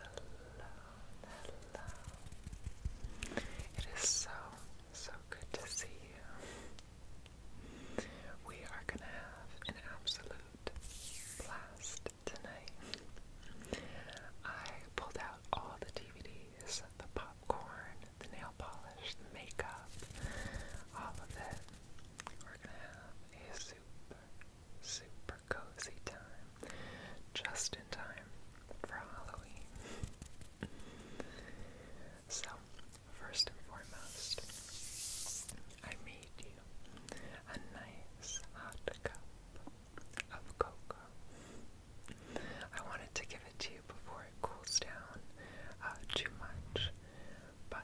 hello. It is so, so good to see you. We are going to have an absolute blast tonight. I pulled out all the DVDs, the popcorn, the nail polish, the makeup, all of it. We're going to have super, super cozy time. Just in time for Halloween. so, first and foremost, I made you a nice hot cup of cocoa. I wanted to give it to you before it cools down uh, too much, but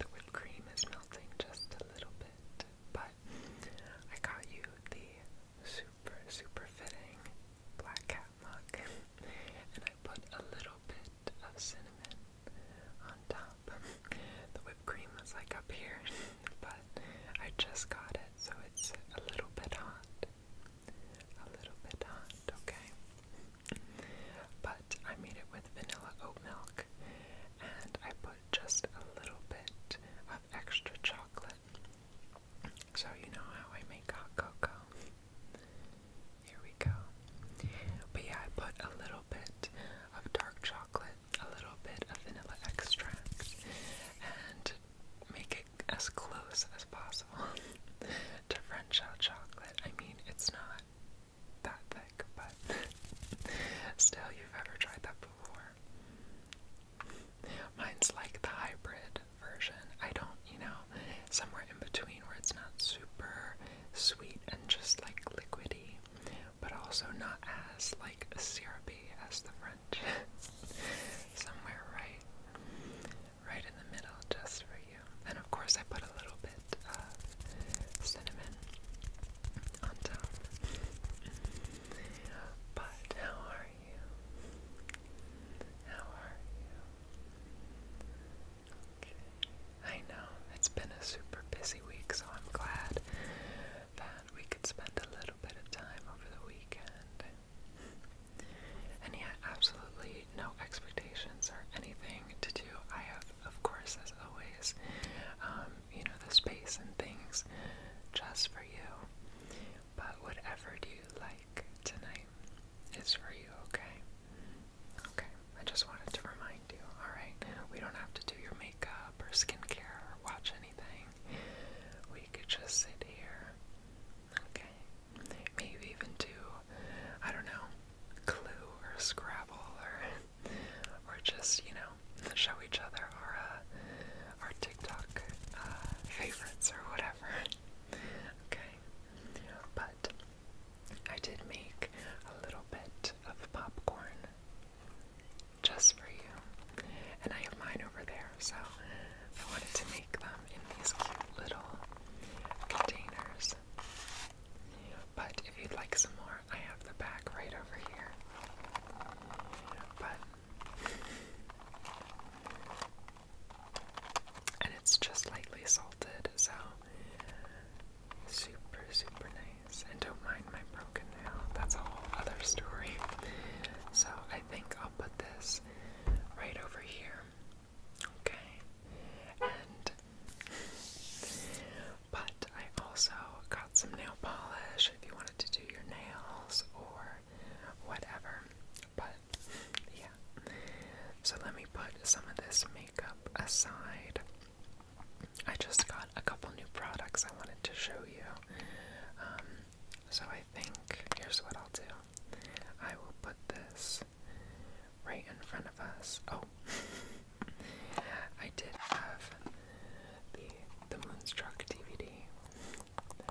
the whipped cream is melting just a little bit, but I got you the super, super fitting black cat mug, and I put a little bit of cinnamon on top. The whipped cream was like up here, but I just got it, so it's a little bit hot. A little bit hot, okay? But I made it with vanilla oat milk and I put just a little bit of extra chocolate. So, you know how I make hot cocoa. Here we go. But yeah, I put a little bit of dark chocolate, a little bit of vanilla extract, and make it as close as possible to French out chocolate. I mean, it's not that thick, but still, you've ever tried that before. Mine's like the hybrid version. I don't, you know, somewhere in between where it's not super sweet and just like liquidy, but also not as like syrupy as the French. somewhere right right in the middle just for you. And of course, I put a little bit of cinnamon on top. But how are you? How are you? Okay. I know it's been a super busy week, so I'm glad that we could spend a little bit of time over the weekend. And yeah, absolutely, no expectations or anything to do. I have, of course, as always, um, you know, the space and things just for you. But whatever do you like tonight is for you, okay? Okay, I just wanted to remind you, alright? We don't have to do your makeup or skincare or watch anything. We could just sit here, okay? Maybe even do, I don't know, Clue or Scrabble or or just you know show each other our uh, our TikTok uh, favorites or whatever. Okay, but I did make a little bit of popcorn just for you, and I have mine over there. So I wanted to make them in these cute little containers. But if you'd like some more, I have the back right over here. But. And it's just lightly salted, so super, super nice. And don't mind my broken nail, that's a whole other story. So I think I'll put this right over here Okay. And but I also got some nail polish if you wanted to do your nails or whatever. But yeah. So let me put some of this makeup aside. I just got a couple new products I wanted to show you. Um, so I think here's what I'll do I will put this right in front of us. Oh, I did have the the Moonstruck DVD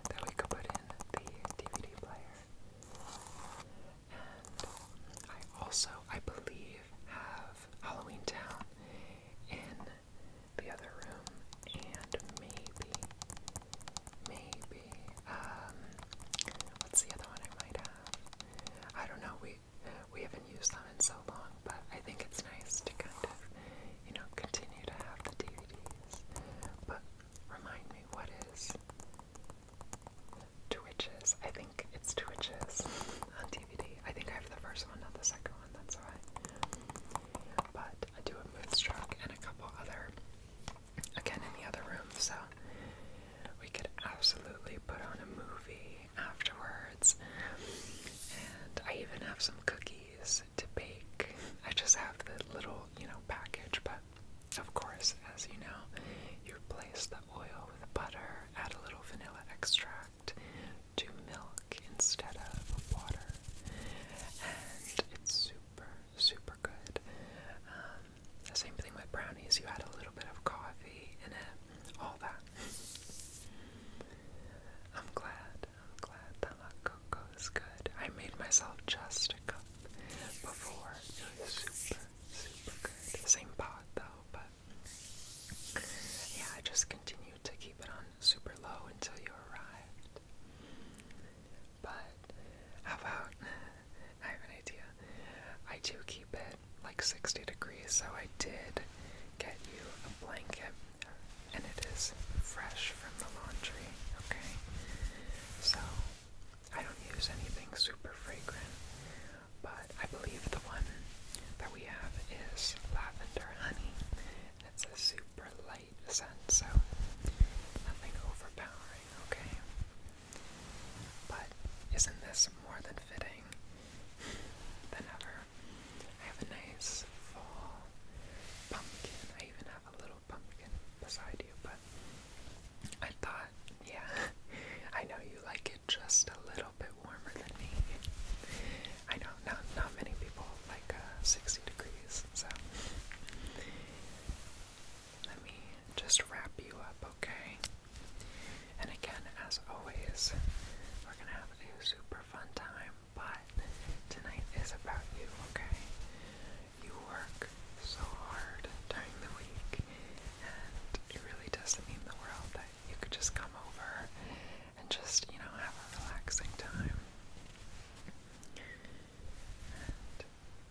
that we could put in the DVD player, and I also, I believe, have Halloween Town in the other room, and maybe, maybe, um, what's the other one I might have? I don't know. We we haven't used them in so long, but I think it's nice to kind of, you know, continue to have the DVDs. But remind me, what is Twitches? I think it's Twitches on DVD. I think I have the first one, not the second one, that's why. But I do a moonstruck and a couple other, again in the other room, so we could absolutely put on a movie afterwards. And I even have some cookies to bake. I just have the little, you know, package, but of course, as you know, you replace the oil with butter, add a little vanilla extract to milk instead of water. And it's super, super good. Um, the same thing with brownies, you add a little bit of coffee in it, all that. I'm glad, I'm glad that La Coco is good. I made myself just a cup before. It was super, super good. Same pot though, but yeah, I just continued to keep it on super low until you arrived. But how about I have an idea. I do keep it like 60 degrees, so I did get you a blanket, and it is fresh from the laundry, okay? So, I don't use anything super fragrant, but I believe the one that we have is lavender honey. It's a super light scent, so nothing overpowering, okay? But isn't this more than fitting than ever? I have a nice fall pumpkin. I even have a little pumpkin beside you, but I thought, yeah, I know you like it just a little bit warmer than me. I know not not many people like uh, 60 degrees, so let me just wrap you up, okay? And again, as always, we're gonna have a new, super fun time, but tonight is about you, okay? You work so hard during the week, and it really doesn't mean the world that you could just come over and just, you know, have a relaxing time.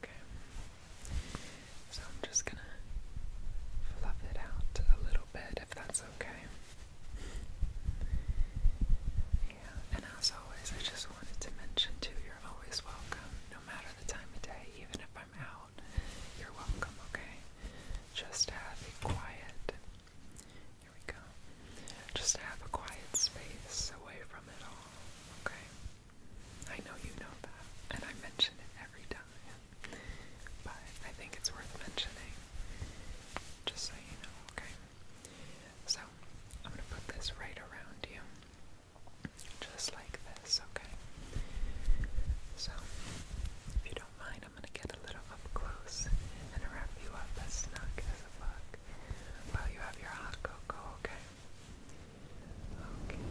okay. So I'm just gonna fluff it out a little bit if that's okay. Yeah, and as always, I just wanted to mention too, you're always welcome, no matter the time of day, even if I'm out, you're welcome, okay? Just have a quiet, here we go, just have a quiet space away from it all, okay? I know you know that, and I mention it every time but I think it's worth mentioning, just so you know, okay? So, I'm gonna put this right around you, just like this, okay? So, if you don't mind, I'm gonna get a little up close and wrap you up as snug as a while you have your hot cocoa, okay? Okay.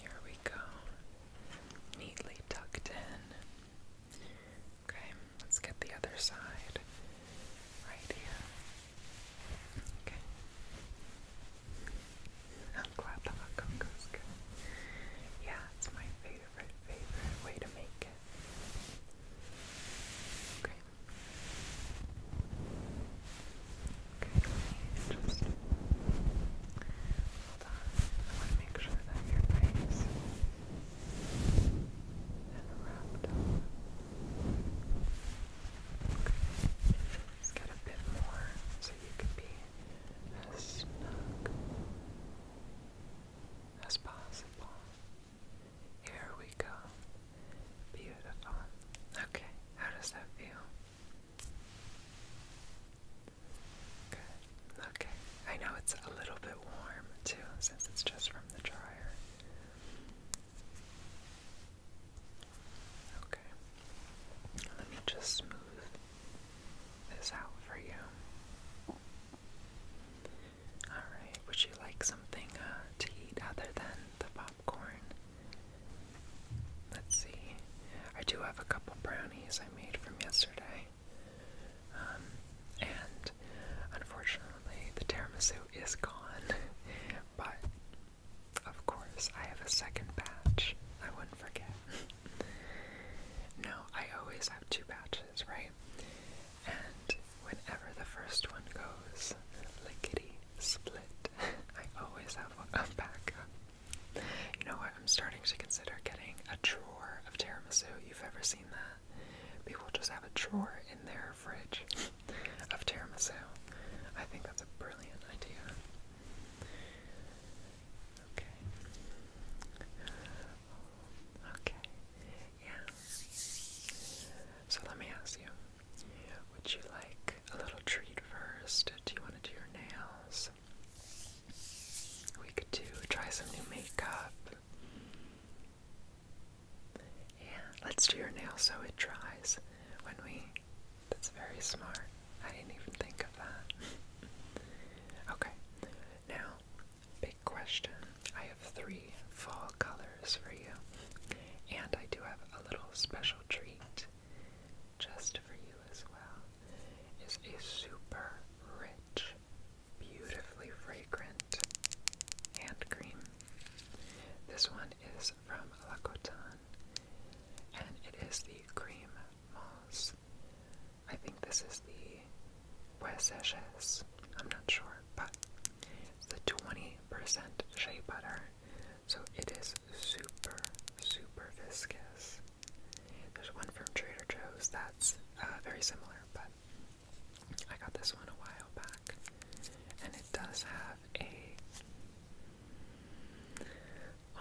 Here we go. Neatly tucked in. Okay, let's get the other side right here. Okay. I'm glad the hot cocoa's good. Yeah, it's my favorite, favorite way to make it. Okay. Okay, let me just hold on. I want to make sure that your face is wrapped Okay, let's get a bit more so you can be as snug as possible. Here we go. Beautiful. Okay, how does that feel? Good. Okay. I know it's a little bit warm too since it's just from the dryer. Okay. Let me just smooth this out for you. Alright, would you like something uh, to eat other than the popcorn? Let's see. I do have a couple brownies I made from yesterday. Um, and unfortunately, the tiramisu is gone. but, of course, I have a second batch. I wouldn't forget. no, I always have two batches, right? And whenever the first one goes, lickety split, I always have one backup. You know what? I'm starting to consider getting a drawer of tiramisu. You've ever seen that? People just have a drawer in their fridge of tiramisu. I think that's a brilliant idea. Okay. Okay. Yeah. So let me ask you. Would you like a little treat first? Do you want to do your nails? We could do try some new makeup. Yeah, let's do your nail so it dries when we. That's very smart. I didn't even think of that. okay, now, big question. I have three fall colors for you, and I do have a little special treat just for you as well, is a super rich, beautifully fragrant hand cream. This one is from La Coton, and it is the Cream Moss. I think this is the Wes I'm not sure, but it's the 20% shea butter. So it is super, super viscous. There's one from Trader Joe's that's uh, very similar, but I got this one a while back. And it does have a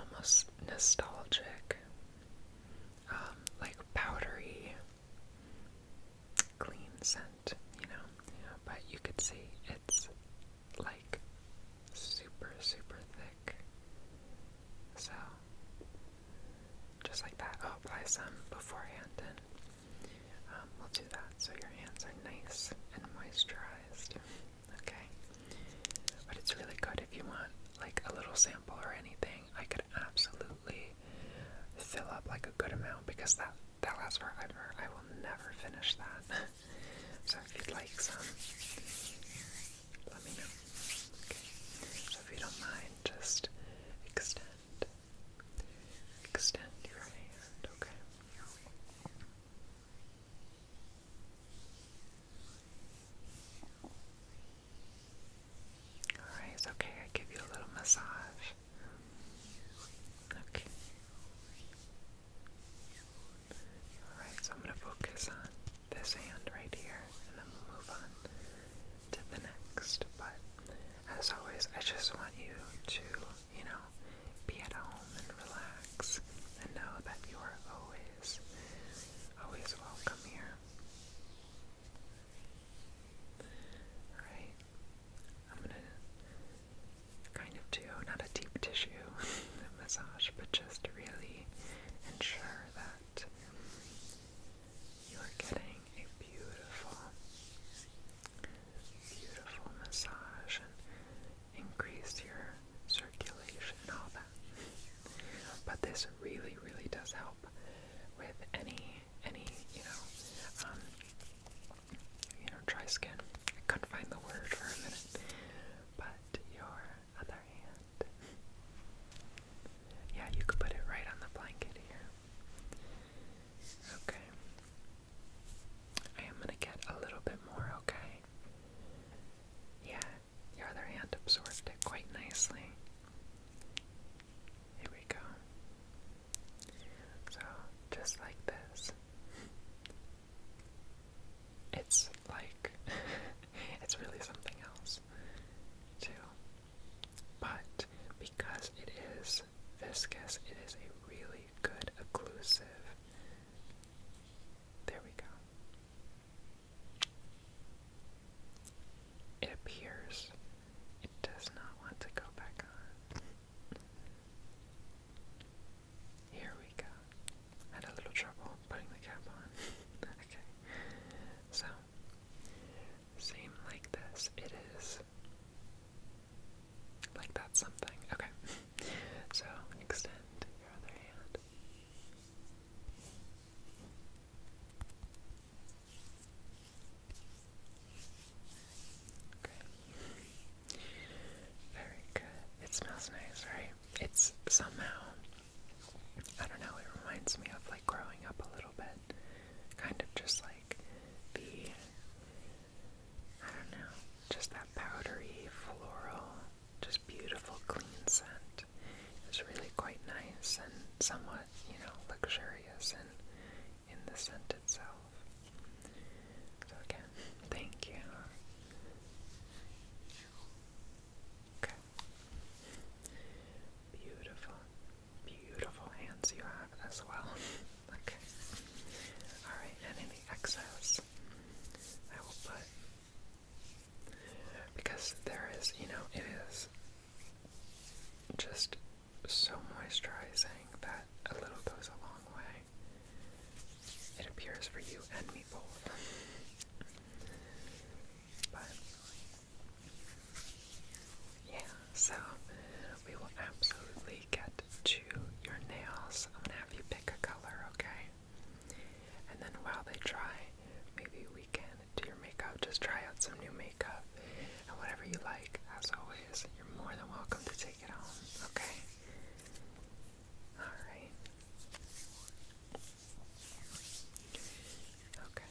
almost nostalgic, um, like powdery, clean scent, you know? But you could see it's like super, super thick. So, just like that, I'll oh, apply some beforehand and um, we'll do that so your hands are nice and moisturized. Okay? But it's really good if you want like a little sample or anything. I could absolutely fill up like a good amount because that that lasts forever. I will never finish that. so if you'd like some, let me know. Okay. So if you don't mind, just extend, extend your hand. Okay. All right. It's okay. I give you a little massage. Okay. Alright, so I'm going to focus on this hand right here, and then we'll move on to the next. But as always, I just want you to, you know, be at home and relax, and know that you are always, always welcome here. Alright, I'm going to kind of do not a deep tissue massage, but just really ensure sure that you are getting a beautiful, beautiful massage and increase your circulation and all that. But this really, really does help with any, any, you know, um, you know, dry skin. I couldn't find the word for a minute, but your other hand. yeah, you could put it right on the blanket here. Okay. I am going to get a little bit more, okay? Yeah, your other hand absorbed it quite nicely. Here we go. So, just like this it's like it's really something else too. But because it is viscous, it is a really good occlusive. There we go. It appears it does not want to go back on. Here we go had a little trouble putting the cap on. okay. So, same like this, it is. Like that's something. Okay. so, extend your other hand. Okay. Very good. It smells nice, right? It's somehow I don't know, it reminds me of like growing up a little bit. Kind of just like the, I don't know, just that powdery, floral, just beautiful, clean scent. It's really quite nice and somewhat, you know, luxurious and in the scent itself. So again, thank you. Okay. Beautiful, beautiful hands you have as well. okay. Alright, and in the excess, I will put. Because there is, you know, it is just so moisturizing that a little goes a long way. It appears for you and me both yeah, so we will absolutely get to your nails. I'm gonna have you pick a color, okay? And then while they dry, maybe we can do your makeup. Just try out some new makeup and whatever you like, as always, you're more than welcome to take it home, okay? Alright. Okay.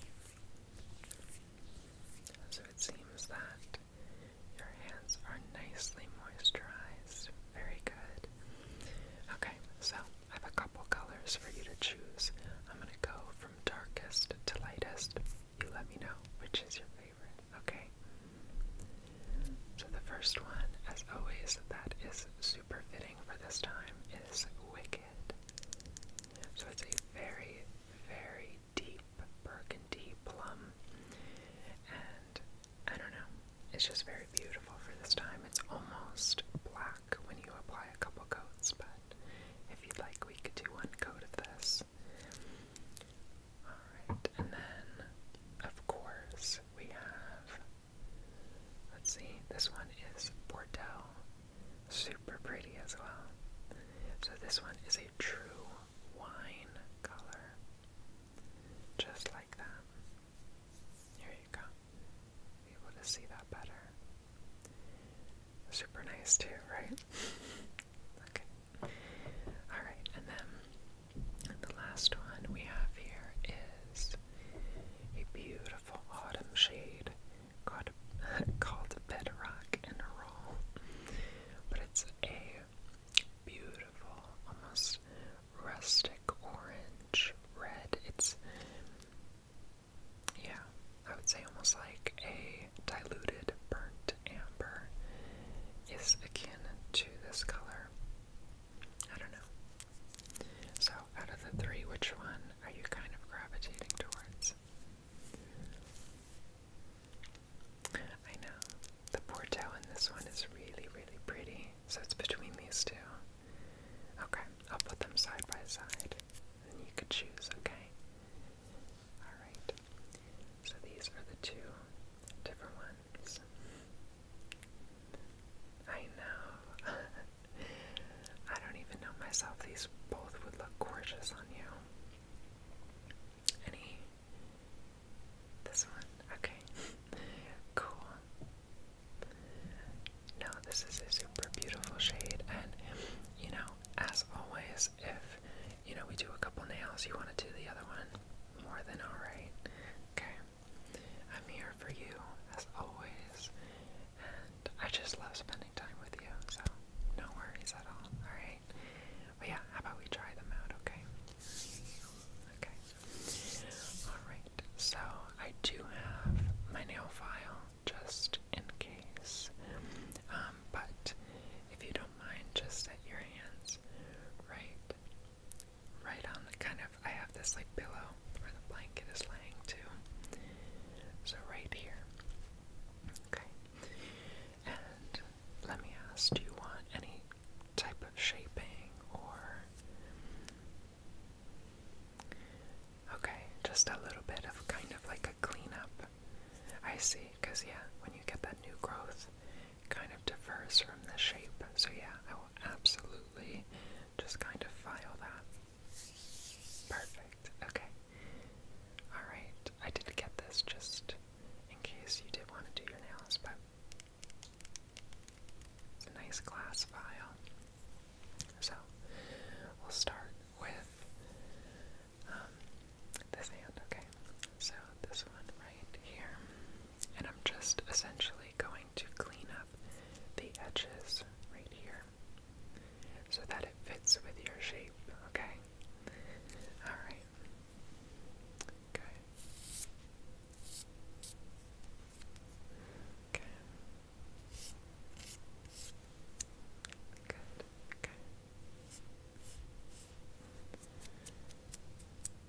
So it seems that your hands are nicely moisturized. Very good. Okay, so I have a couple colors for you to choose. I'm going to go from darkest to lightest. You let me know which is your favorite, okay? So the first one, as always, that is super fitting for this time is Wicked. So it's a very, very deep burgundy plum. And I don't know, it's just very beautiful for this time. It's almost black when you apply a couple coats, but if you'd like, we could do one coat of this. Alright, and then, of course, we have Let's see, this one is Bordeaux. Super pretty as well. So this one is a true wine color. Just like that. Here you go. able to see that better. Super nice too, right? okay. Alright, and then the last one we have here is a beautiful autumn shade called, called Bedrock and Roll. But it's a beautiful, almost rustic orange red. It's, yeah, I would say almost like a diluted burnt amber is akin to this color. I don't know. So, out of the three, which one are you kind of gravitating towards? I know. The Porto in this one is really, really pretty. So it's between these two. Okay, I'll put them side by side. And you could choose, okay? Alright. So these are the two different ones. I know. I don't even know myself. These both would look gorgeous on you. Any? This one? Okay. cool. No, this is a super beautiful shade. And, you know, as always, if, you know, we do a couple nails, you want to do the other one, more than alright. Okay. I'm here for you, as always. I just love spending time with you, so no worries at all, alright? But yeah, how about we try them out, okay? Okay. Alright, so I do have my nail file just in case, um, but if you don't mind, just set your hands right, right on the kind of, I have this like pillow where the blanket is laying to. So right here. Okay. And let me ask, do you want any type of shaping or Okay, just a little bit of kind of like a cleanup. I see, because yeah, when you get that new growth, kind of differs from the shape. So yeah, I will absolutely just kind of file that. Perfect. Okay. Alright. I did get this just in case you did want to do your nails, but it's a nice glass file. So we'll start with um, this hand, okay? So this one right here. And I'm just essentially going to clean up the edges right here so that it fits with your shape, okay? Alright. Okay. Okay. Good.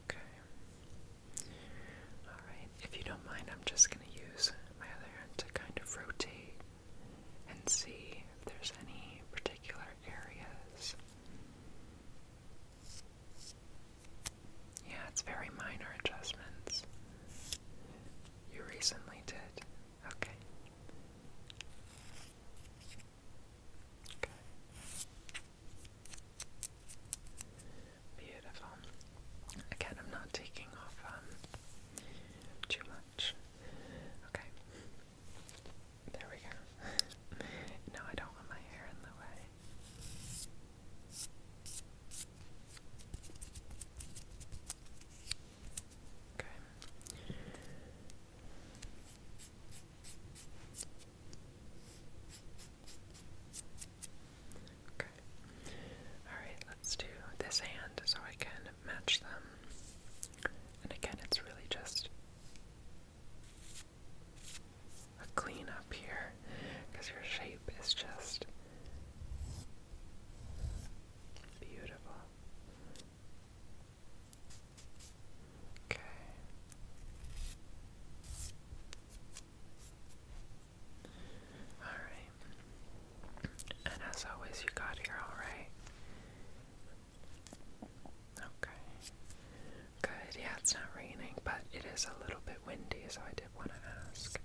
Okay. All right. If you don't mind, I'm just going to use my other hand to kind of rotate and see if there's any particular areas. Yeah, it's very minor adjustments. You recently did. Okay. Okay. Beautiful. Again, I'm not taking off um, too much. Okay. There we go. no, I don't want my hair in the way. Okay. Alright, let's do this hand so I can match them. And again, it's really just a clean up here because your shape is just beautiful. Okay. Alright. And as always, you got here alright. Okay. Good. Yeah, it's not raining, but it is a little bit windy, so I did want to ask.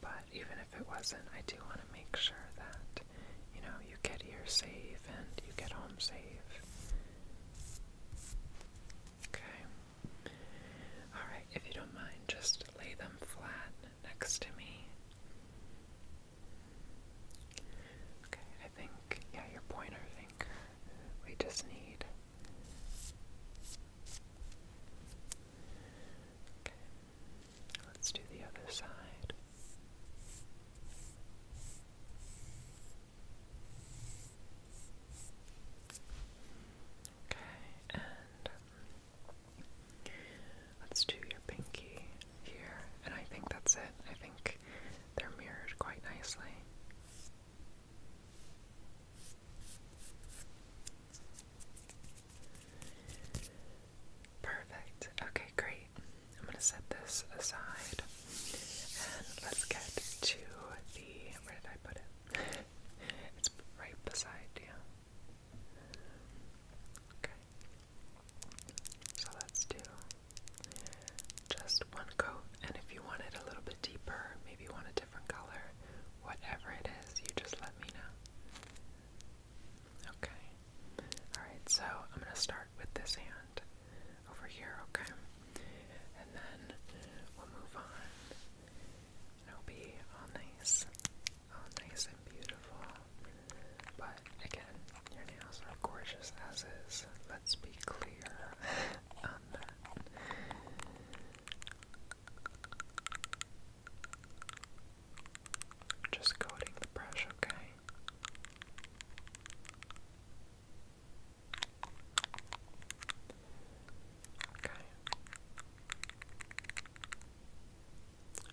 But even if it wasn't, I do want to make sure that, you know, you get here safe and you get home safe. Okay. Alright, if you don't mind, just lay them flat next to me. Okay, I think, yeah, your pointer finger. We just need. Okay, let's do the other side. Okay, and Let's do your pinky here, and I think that's it. I think they're mirrored quite nicely. Perfect. Okay, great. I'm going to set this aside and let's get to the. Where did I put it? it's right beside you. Yeah. Okay. So let's do just one coat, and if you want it a little bit deeper, maybe you want a different color, whatever it is, you just let me know. Okay. Alright, so I'm going to start with this hand over here, okay? And then we'll move on. it'll be all nice Oh, nice and beautiful. But again, your nails are gorgeous as is. Let's be clear Just coating the brush, okay? Okay.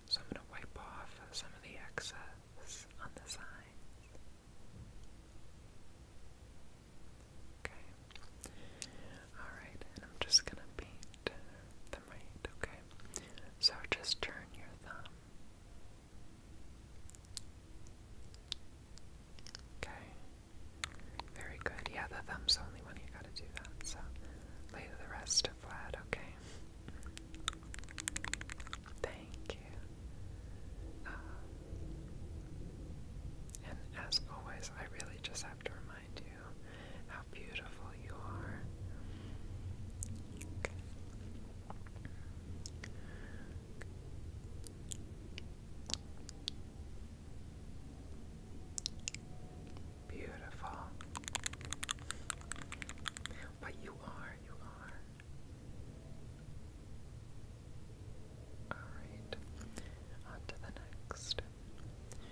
So I'm going to wipe off some of the excess on the sides. Okay. Alright, and I'm just going to paint them right, okay? So just turn your thumb. Okay. Very good. Yeah, the thumb's the only one you gotta do that, so lay the rest flat, okay? Thank you. and as always, I really just have to remind you how beautiful you are. Beautiful. But you are, you are. Alright, on to the next.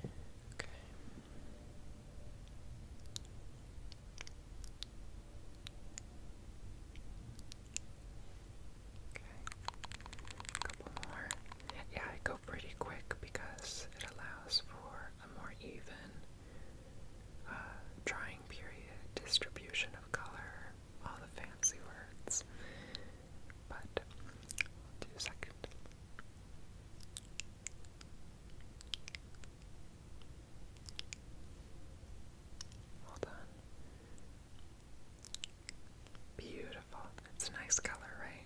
Okay. Okay. A couple more. Yeah, I go pretty quick because it allows for a more even uh, drying period, distribution of color, all the fancy words. But I'll Hold on. Beautiful. It's a nice color, right?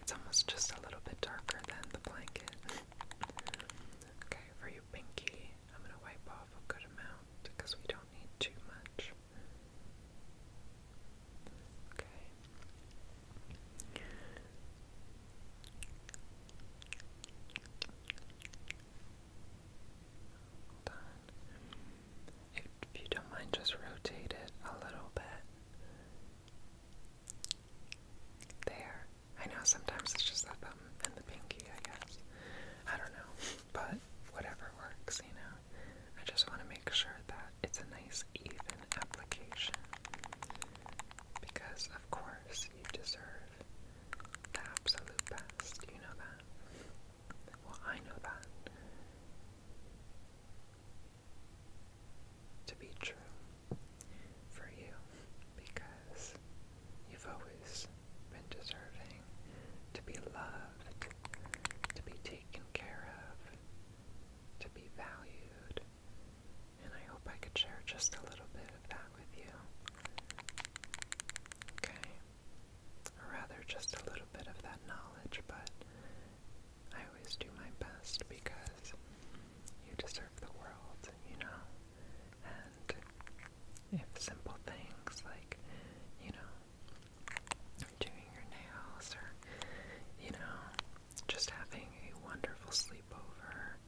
It's almost just a little bit darker than the blanket. okay, for your pinky, I'm going to wipe off a good amount because we don't need too much. Okay. Hold If you don't mind, just rotate it a little bit. There. I know sometimes it's just the thumb and the pinky, I guess. I don't know. But whatever works, you know. I just want to make sure that it's a nice, even application. Because, of course, you deserve the absolute best. You know that. Well, I know that to be true for you because you've always been deserving to be loved, to be taken care of, to be valued. And I hope I could share just a little bit of that with you. Okay? Or rather, just a little bit of that knowledge, but I always do my best because you deserve the world, you know? And if simple things like, you know, doing your nails or, you know, just having a wonderful sleepover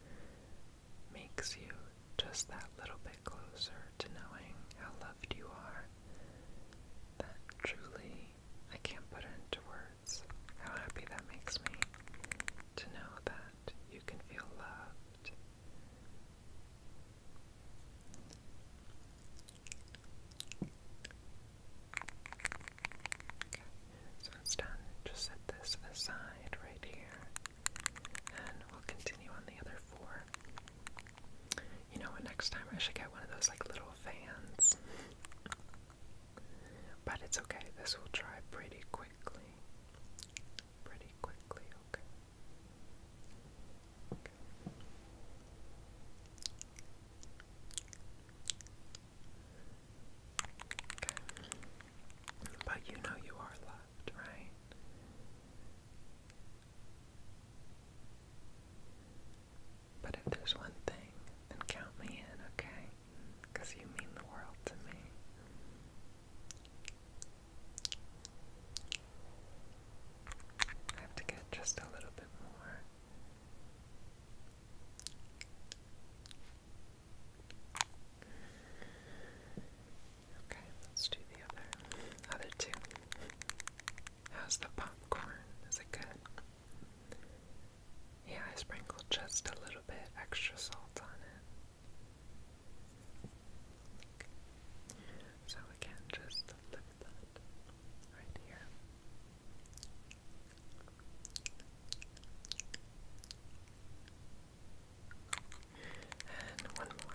makes you just that little bit closer to knowing how loved you are, that truly I can't put into words. How happy that makes me to know that you can feel loved. Okay, so it's done. Just set this aside right here, and we'll continue on the other four. You know what? Next time I should get one of those like little fans. But it's okay, this will dry pretty quickly. Pretty quickly, okay. But you know you are loved, right? But if there's one thing, then count me in, okay? because you mean the world to me. I have to get just a little bit more. Okay, let's do the other other two. How's the popcorn? Is it good? Yeah, I sprinkled just a little bit extra salt on it. So again, just flip that right here. And one more.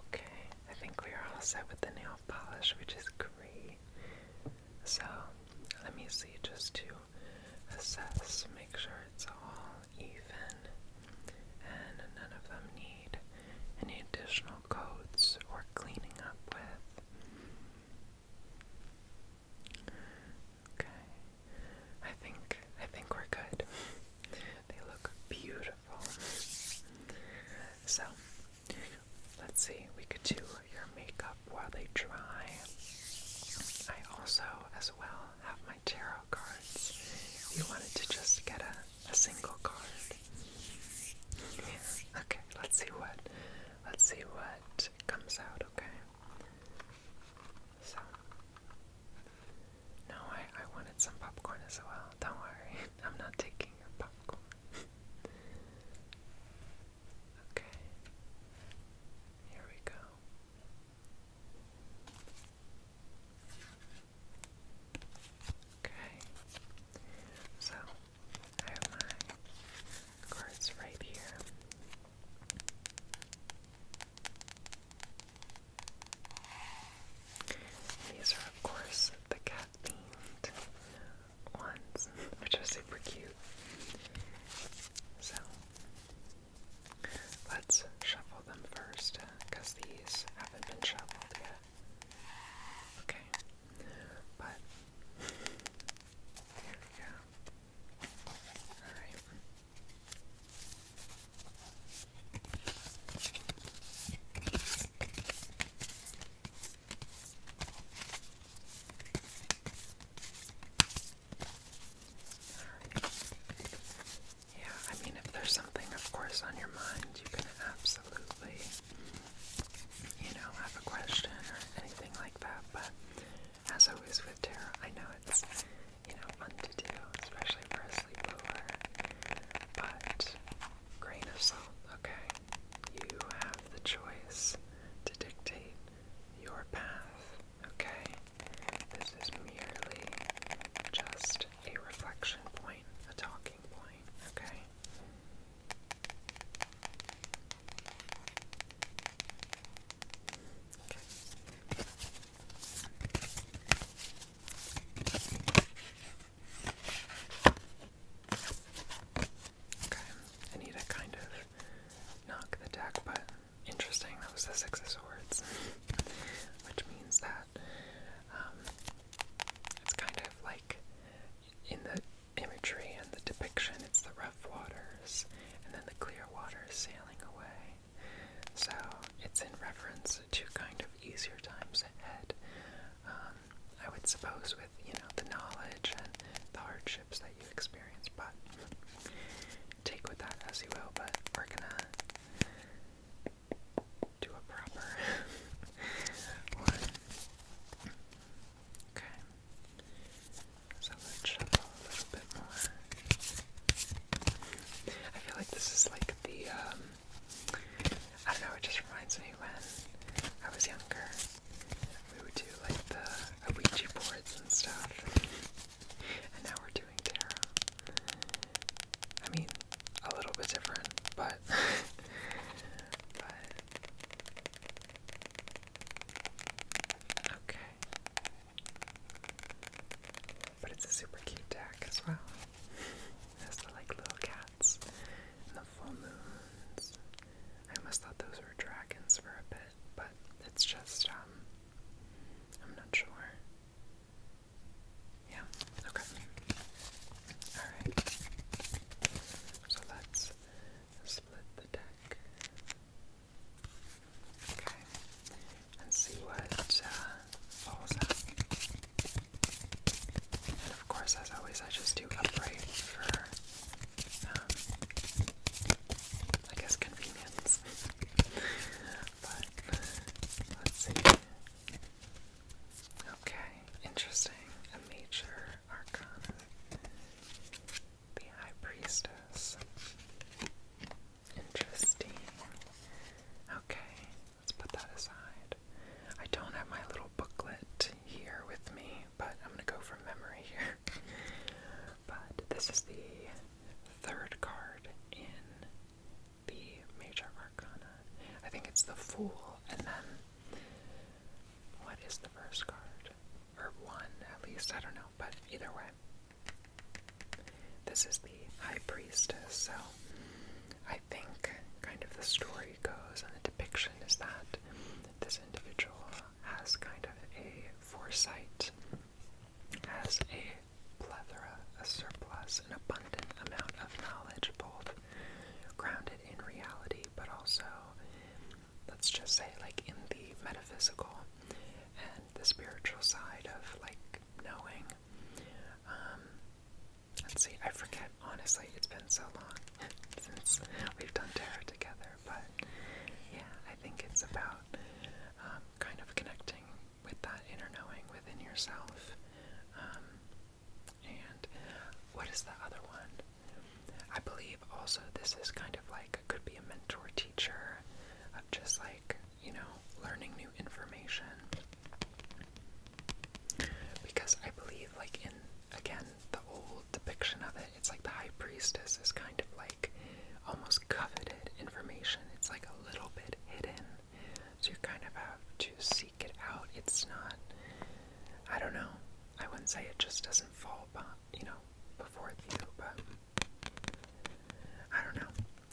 Okay, I think we are all set with the nail polish, which is great. So, let me see just to assess, make sure it's all even and none of them need any additional coats or cleaning up with. Okay. I think I think we're good. they look beautiful. So let's see, we could do your makeup while they dry. I also as well have my tarot cards. you wanted to just get a, a single card. Okay, let's see what let's see what comes out, okay? So no, I, I wanted some popcorn as well. Don't worry, I'm not taking your popcorn. okay, here we go. Okay, so I have my cards right here. These are, of course, the cat ones, which are super cute. So let's shuffle them first because uh, these haven't been shuffled yet. Okay, but here we go. Alright. Yeah, I mean, if there's something, of course, on your mind, you can absolutely, you know, have a question or anything like that. But as always with Tara, I know it's you know, fun to do, especially for a sleepover. But, grain of salt, okay? You have the choice to dictate your path, okay? This is merely just a reflection point, a talking point, Okay. I need to kind of knock the deck, but interesting, that was the Six of Swords, which means that um, it's kind of like in the imagery and the depiction, it's the rough waters and then the clear waters sailing away. So it's in reference to kind of easier times ahead. Um, I would suppose with you know the knowledge and the hardships that you experienced, but take with that as you will. But we're gonna do a proper one. Okay, so let's shuffle a little bit more. I feel like this is like the, um, I don't know, it just reminds me when I was younger, we would do like the Ouija boards and stuff, and now we're doing tarot. I mean, a little bit different, but, but, Okay. But it's a super cute deck as well. It the like little cats and the full moons. I almost thought those were dragons for a bit, but it's just um, I'm not sure. Yeah, okay. Alright. So let's split the deck. Okay, and see what uh, falls out. And of course, as always, I just do upright for, um, I guess, convenience. but let's see. Okay, interesting. A major arcana. The High Priestess. Interesting. Okay, let's put that aside. I don't have my little booklet here with me, but I'm going to go from memory here. but this is the third card in the Major Arcana. I think it's the Fool, and then what is the first card? Or one, at least, I don't know, but either way. This is the high priestess, so I think kind of the story goes and the depiction is that this individual has kind of a foresight, has a plethora, a surplus, an abundant amount of knowledge, both grounded in reality, but also, let's just say, like in the metaphysical and the spiritual side of like knowing um, let's see, I forget, honestly, it's been so long since we've done tarot together, but yeah, I think it's about um, kind of connecting with that inner knowing within yourself. Um, and what is the other one? I believe also this is kind of like could be a mentor teacher of just like you know, learning new information. Because I believe, like, in again, the old depiction of it, it's like the high priestess is kind of like almost coveted information. It's like a little bit hidden. So you kind of have to seek it out. It's not, I don't know, I wouldn't say it just doesn't fall, you know, before you, but I don't know.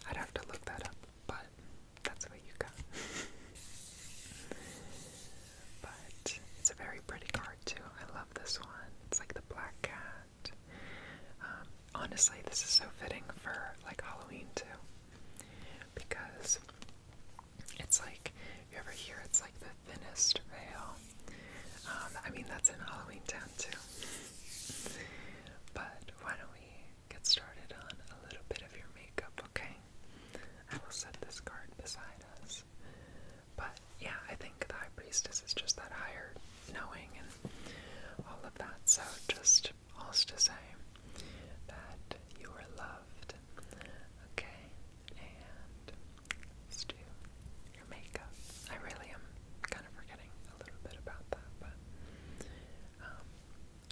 I'd have to look that up, but that's what you got. but it's a very pretty card too. I love this one. It's like the black cat. Um, honestly, this is so fitting for like Halloween too, because it's like you ever hear it's like the thinnest veil. Um, I mean that's in Halloween Town too. But why don't we get started on a little bit of your makeup, okay? I will set this card beside us. But yeah, I think the High Priestess is just that higher knowing and all of that. So, just all's to say that you are loved, okay? And do your makeup. I really am kind of forgetting a little bit about that, but um,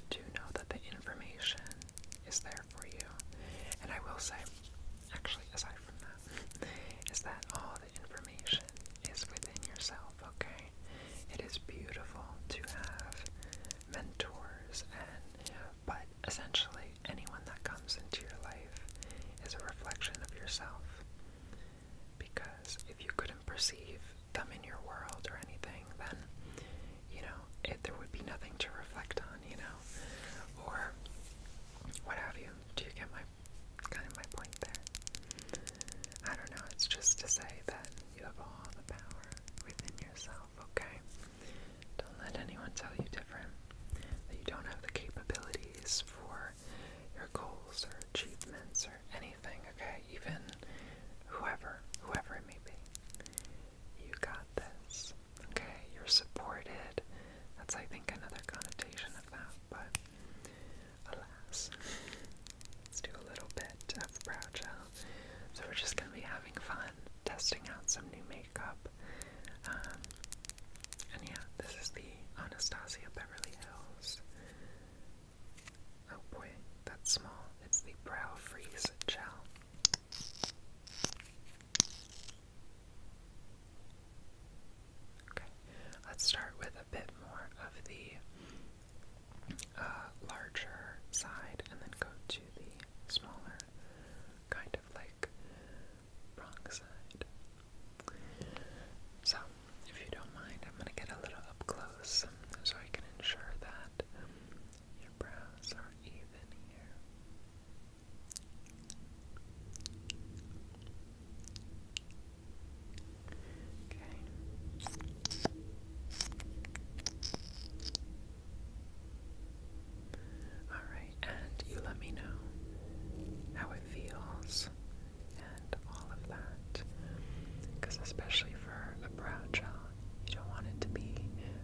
do know that the information is there for you. And I will say, actually, aside from that, is that all the information is within yourself, okay? It is beautiful to have mentors and, but essentially, anyone that comes into your life is a reflection of yourself. Because if you couldn't perceive them in your world or anything, then you know it, there would be nothing to reflect on, you know, or what have you. Do you get my kind of my point there? I don't know. It's just to say that you have all the power within yourself. Okay, don't let anyone tell you different. That you don't have the capabilities for your goals or achievements or anything okay? Even whoever, whoever it may be. You got this. Okay, you're supported. That's I think another connotation of that, but alas. Let's do a little bit of brow gel. So we're just gonna be having fun testing out some new makeup. Um, and yeah, this is the Anastasia Beverly Hills Oh boy, that's small. It's the Brow Freeze Gel. Okay, let's start with a bit more of the uh, larger side and then go to the smaller, kind of like wrong side. So, if you don't mind, I'm going to get a little up close so I can ensure that your brows are even here. Okay. Alright, and you let me know how it feels and all of that. Because, especially for a brow gel, you don't want it to be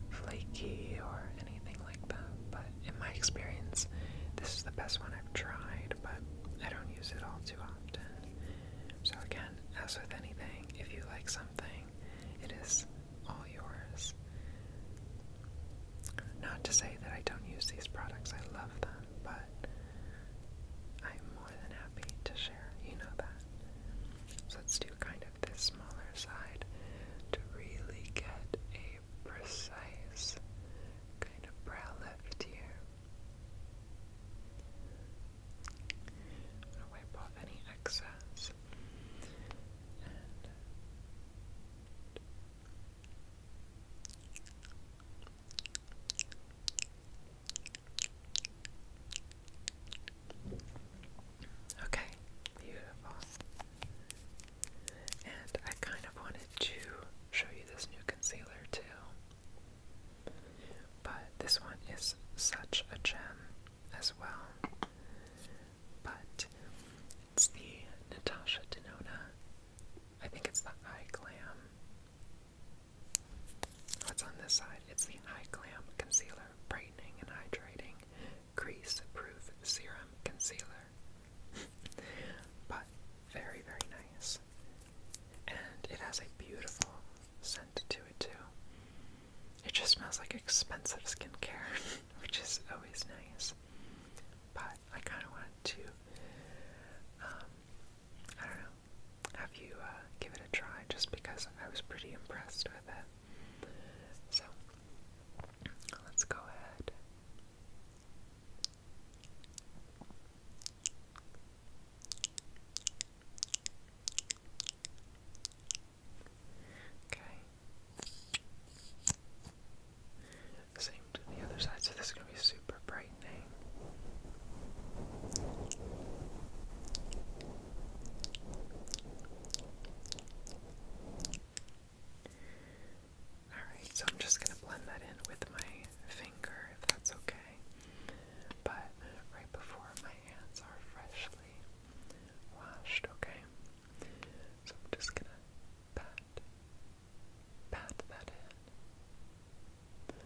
flaky or anything like that. But in my experience, this is the best one I've tried, but I don't use it all too often. So, again, as with anything, if you like something, it is all yours. Not to say that I don't use these products, I love them, but I'm more than happy to share you know that. So let's do kind of this smaller side to really get a precise kind of brow lift here. I'm going to wipe off any excess. Okay, beautiful. And I kind of wanted to show you this new concealer too. But this one is such a gem as well. But it's the Natasha Denona. I think it's the Eye Glam What's on this side? It's the High Glam Concealer Brightening and Hydrating Crease Proof Serum Concealer. but very, very nice. And it has a beautiful scent to it, too. It just smells like expensive skincare, which is always nice. But I kind of wanted to, um, I don't know, have you uh, give it a try just because I was pretty impressed with it. So, let's go ahead. Okay. Same to the other side, so this is going to be super brightening. Alright, so I'm just going to blend that in with my finger if that's okay. But right before my hands are freshly washed, okay? So I'm just going to pat, pat that in. Pat,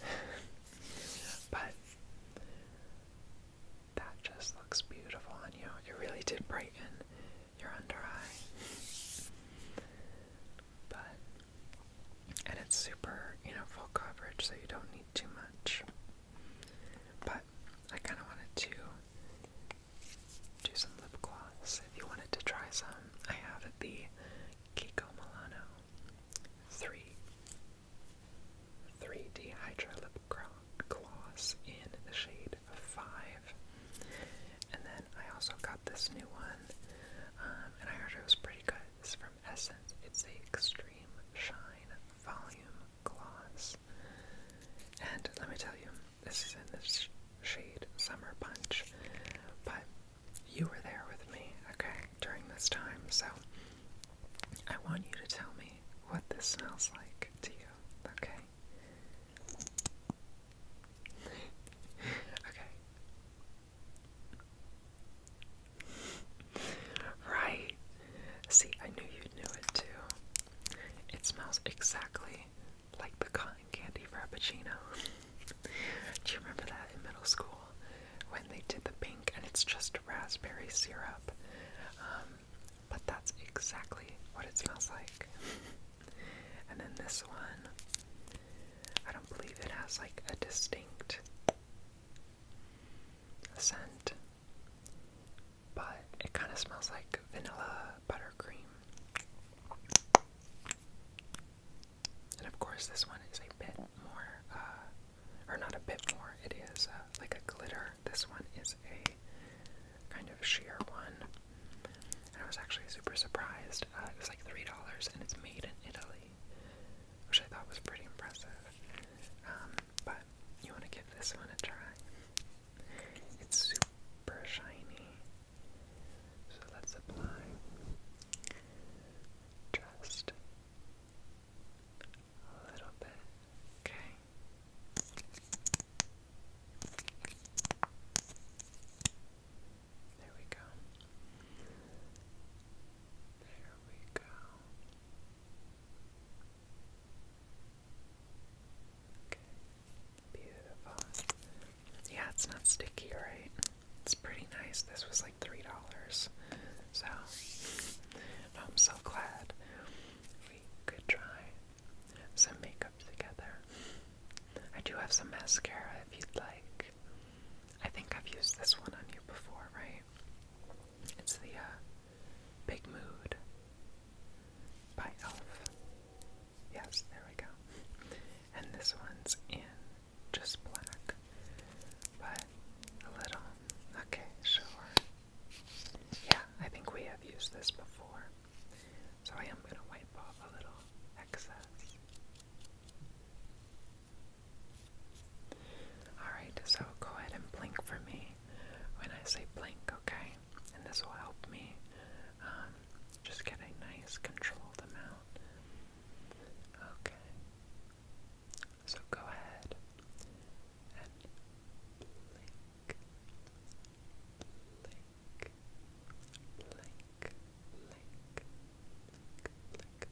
but that just looks beautiful on you. It really did brighten your under eye. But and it's super, you know, full coverage, so you don't need too much. But I kind of wanted to do some lip gloss. If you wanted to try some, I have the Kiko Milano 3 3D Hydra Lip Gloss in the shade 5. And then I also got this new one, um, and I heard it was pretty good. It's from Essence. It's a Extreme Shine Volume Gloss. And let me tell you, this is in this shade Summer Punch, but you were there with me, okay, during this time, so I want you to tell me what this smells like to you, okay? okay. right. See, I knew you knew it too. It smells exactly like the cotton candy frappuccino. Do you remember that in middle school? when they did the pink, and it's just raspberry syrup. Um, but that's exactly what it smells like. and then this one, I don't believe it has like a distinct scent, but it kind of smells like vanilla buttercream. And of course, this one is a bit more uh, or not a bit more, it is uh, like a glitter. This one is a kind of sheer one. And I was actually super surprised. Uh, it was like $3 and it's made in Italy, which I thought was pretty impressive. Um, but you want to give this one a try. It's super shiny. So let's apply just a little bit. Okay. There we go. There we go. Okay. Beautiful. Yeah, it's not sticky, right? It's pretty nice. This was three dollars. So I'm so glad we could try some makeup together. I do have some mascara if you'd like. I think I've used this one on you before, right? It's the uh, Big Mood by Elf. Yes, there we go. And this one's in just black but a little. Okay, sure. Yeah, I think we have used this before, so I am going to wipe off a little excess. Alright, so go ahead and blink for me when I say blink, okay? And this will help me um, just get a nice controlled amount. Okay. So go ahead and blink, blink, blink, blink, blink, blink, blink.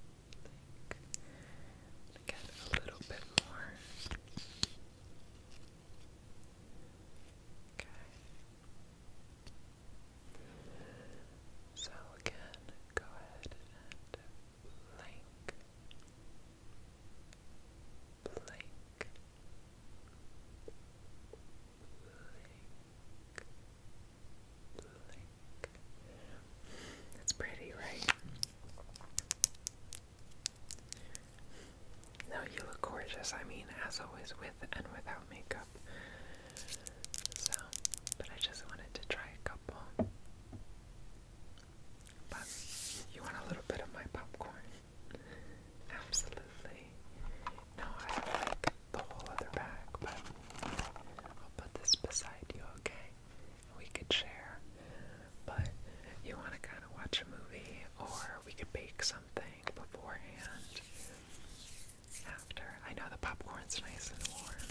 To get a little bit more. Okay. So again, go ahead and blink, Blake, That's pretty, right? No, you look gorgeous. I mean, as always, with and without makeup. So, but I just wanted to try a couple. But you want a little bit of my popcorn? Absolutely. No, I have like the whole other bag, but I'll put this beside you, okay? We could share. But you want to kind of watch a movie, or we could bake something beforehand. After. I know the popcorn's nice and warm.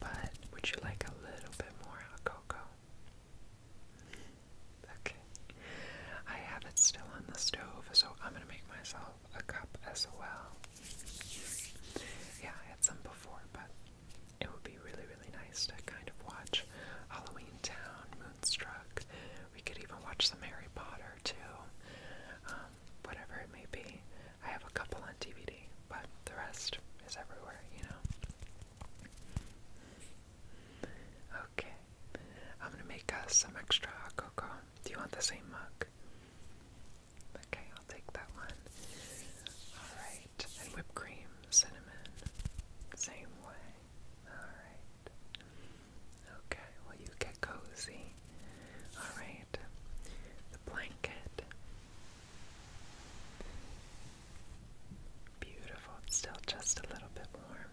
But would you like a little bit more cocoa. Okay. I have it still on the stove, so I'm going to make myself a cup as well. Yeah, I had some before, but it would be really, really nice to kind of watch Halloween Town, Moonstruck. We could even watch some Harry Potter too, um, whatever it may be. I have a couple on DVD, but the rest is everywhere, you know? Okay. I'm gonna make some extra cocoa. Do you want the same mug? Okay, I'll take that one. Alright, and whipped cream, cinnamon, same way. Alright. Okay, well, you get cozy. Alright, the blanket Beautiful. It's still just a little bit warm.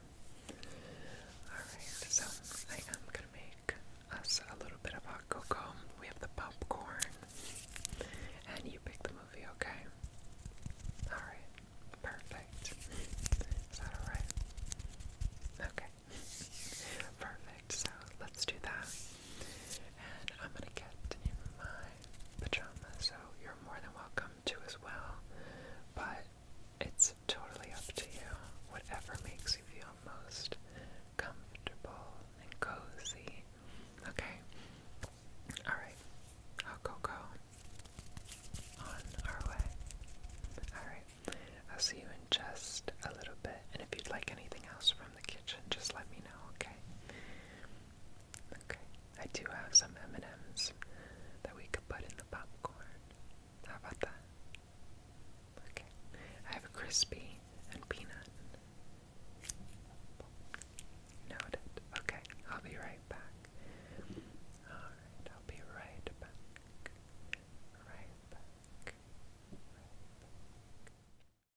Alright, so I am going to make us a little bit of hot cocoa. We have the popcorn. And you pick the movie, okay? Alright, perfect. Is that alright? Okay, perfect. So let's do that. And I'm gonna get in my pajamas, so you're more than welcome to as well. But it's totally up to you. Whatever makes you feel most comfortable and cozy. Okay? Alright. I'll go go. On our way. Alright. I'll see you in just a little bit. And if you'd like anything else from the kitchen, just let me know, okay? Okay. I do have some M&Ms that we could put in the popcorn. How about that? Okay. I have crispy and peanut. Noted. Okay, I'll be right back. Alright, I'll be right back. Right back. Right back.